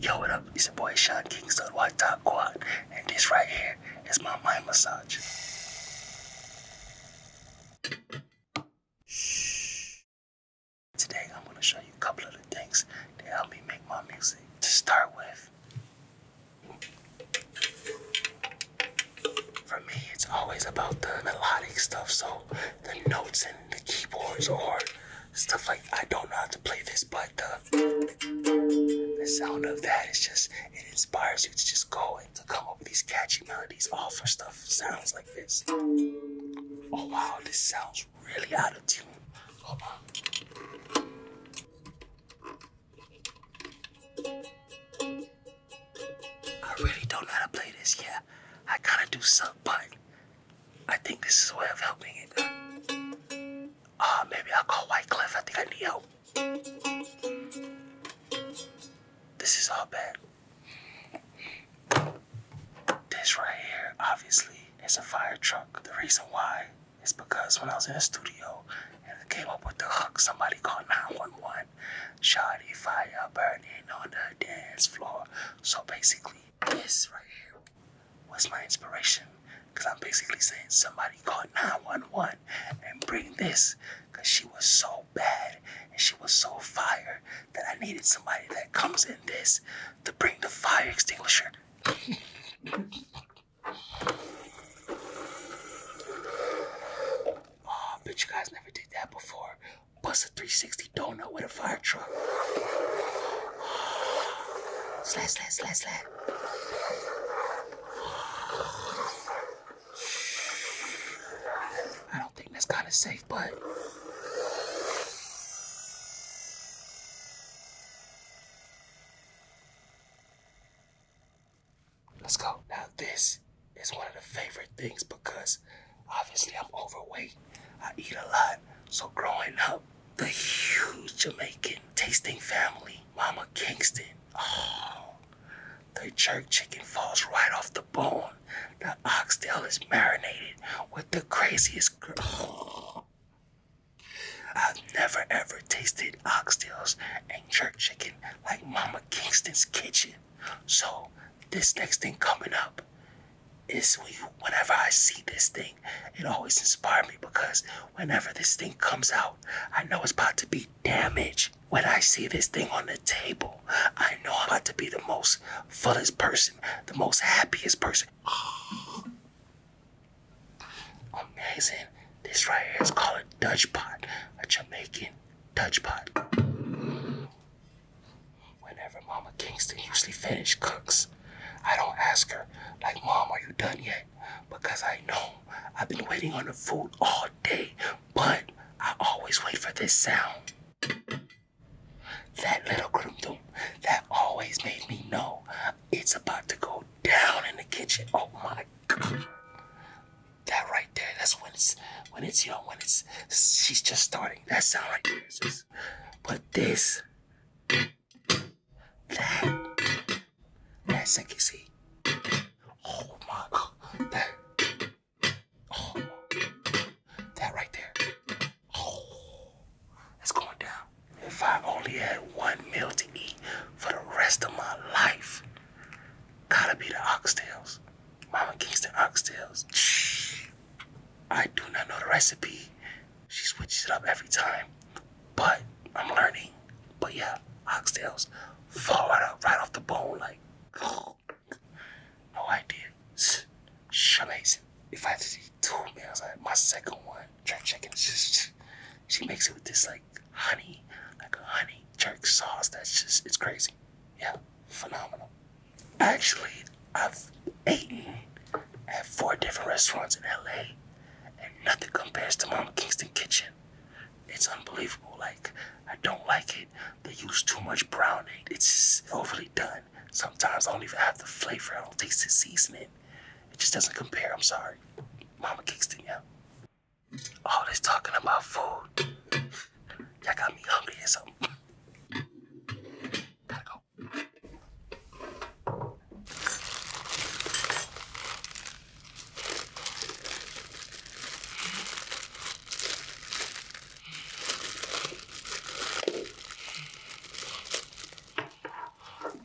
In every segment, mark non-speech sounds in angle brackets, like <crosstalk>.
Yo, what up? It's your boy Sean Kingston, White Top Quad, and this right here is my mind massage. Shh. Today, I'm gonna show you a couple of the things that help me make my music. To start with, for me, it's always about the melodic stuff, so the notes and the keyboards are stuff like I don't know how to play this, but the, uh, the sound of that is just it inspires you to just go and to come up with these catchy melodies All of stuff sounds like this. Oh wow, this sounds really out of tune. Hold on. I really don't know how to play this. Yeah, I kind of do suck, I think this is a way of helping it. Ah, maybe I'll call Wycliffe. I think I need help. This is all bad. This right here, obviously, is a fire truck. The reason why is because when I was in the studio and I came up with the hook, somebody called 911. Shoddy fire burning on the dance floor. So basically, this right here was my inspiration because I'm basically saying somebody called 911 and bring this because she was so bad and she was so fire that I needed somebody that comes in this to bring the fire extinguisher. oh, <laughs> but you guys never did that before. Bust a 360 donut with a fire truck. Slash, slash, slash, slash. I don't think that's kind of safe, but. Let's go. Now, this it's one of the favorite things because obviously I'm overweight. I eat a lot. So growing up, the huge Jamaican tasting family, Mama Kingston. Oh, the jerk chicken falls right off the bone. The oxtail is marinated with the craziest. <gasps> I've never ever tasted oxtails and jerk chicken like Mama Kingston's kitchen. So this next thing coming up is whenever I see this thing, it always inspires me because whenever this thing comes out, I know it's about to be damaged. When I see this thing on the table, I know I'm about to be the most fullest person, the most happiest person. <gasps> Amazing. This right here is called a Dutch pot, a Jamaican Dutch pot. Whenever Mama Kingston usually finish cooks, I don't ask her, like, Mom, are you done yet? Because I know I've been waiting on the food all day, but I always wait for this sound. That little crumdum, that always made me know it's about to go down in the kitchen. Oh my god. That right there, that's when it's when it's young, when it's she's just starting. That sound right there. Just, but this, that, that second Oh my god, that, oh, that right there. Oh, it's going down. If I only had one meal to eat for the rest of my life, gotta be the oxtails. Mama Kingston oxtails. I do not know the recipe. She switches it up every time, but I'm learning. But yeah, oxtails fall right off, right off the bone like. No idea. It's amazing. If I had to eat two meals, I had my second one, jerk chicken. She makes it with this like honey, like a honey jerk sauce. That's just, it's crazy. Yeah, phenomenal. Actually, I've eaten at four different restaurants in LA and nothing compares to Mama Kingston Kitchen. It's unbelievable. Like, I don't like it. They use too much brownie. It's just overly done. Sometimes I don't even have the flavor. I don't taste the seasoning. It just doesn't compare. I'm sorry. Mama Kingston, yeah. All this talking about food. Y'all got me hungry or something. Gotta go.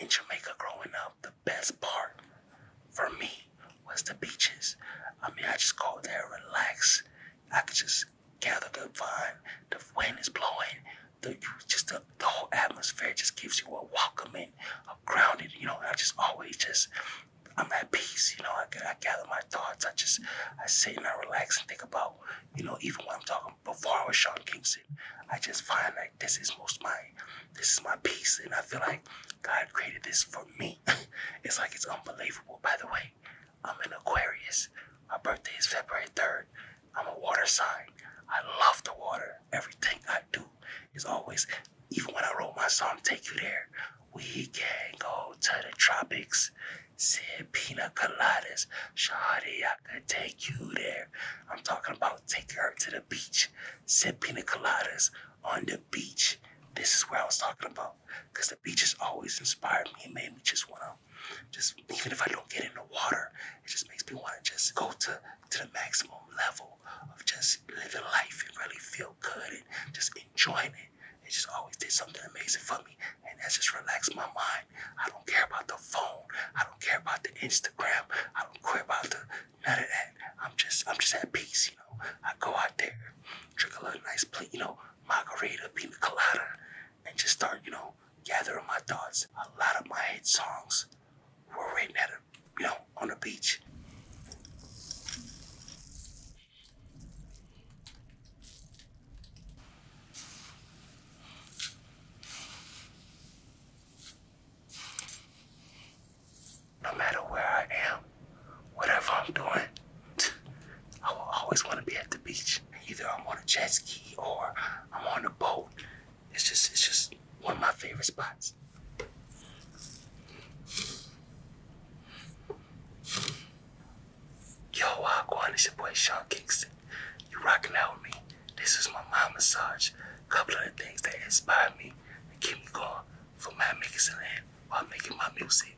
In Jamaica growing up, the best part for me was the beaches. I mean, I just go there, relax. I could just gather the vine, the wind is blowing, the just the, the whole atmosphere just gives you a welcoming, a grounded, you know, I just always just I'm at peace, you know. I, I gather my thoughts. I just I sit and I relax and think about, you know, even when I'm talking before I was Sean Kingston, I just find like this is most my this is my peace, and I feel like God created this for me. <laughs> it's like it's unbelievable. By the way, I'm an Aquarius. My birthday is February 3rd. I'm a water sign. I love the water. Everything I do is always even when I wrote my song Take You There, we can go to the tropics. Sip pina coladas. Shawty, I could take you there. I'm talking about take her to the beach. Sip pina coladas on the beach. This is where I was talking about. Because the beaches always inspired me and made me just want to, just even if I don't get in the water, it just makes me want to just go to to the maximum level of just living life and really feel good and just enjoying it. It just always did something amazing for me. And that's just relaxed my mind. I don't care about the phone. I don't care about the Instagram. I don't care about the none of that. I'm just I'm just at peace, you know. I go out there, drink a little nice plate, you know, margarita, pina colada, and just start, you know, gathering my thoughts. A lot of my hit songs were written at it you know, on the beach. No matter where I am, whatever I'm doing, <laughs> I will always want to be at the beach. Either I'm on a jet ski or I'm on a boat it's just it's just one of my favorite spots. Yo, Wagwan, it's your boy Sean Kingston. You rocking out with me. This is my mind massage. Couple of the things that inspire me keep me going for my making land while making my music.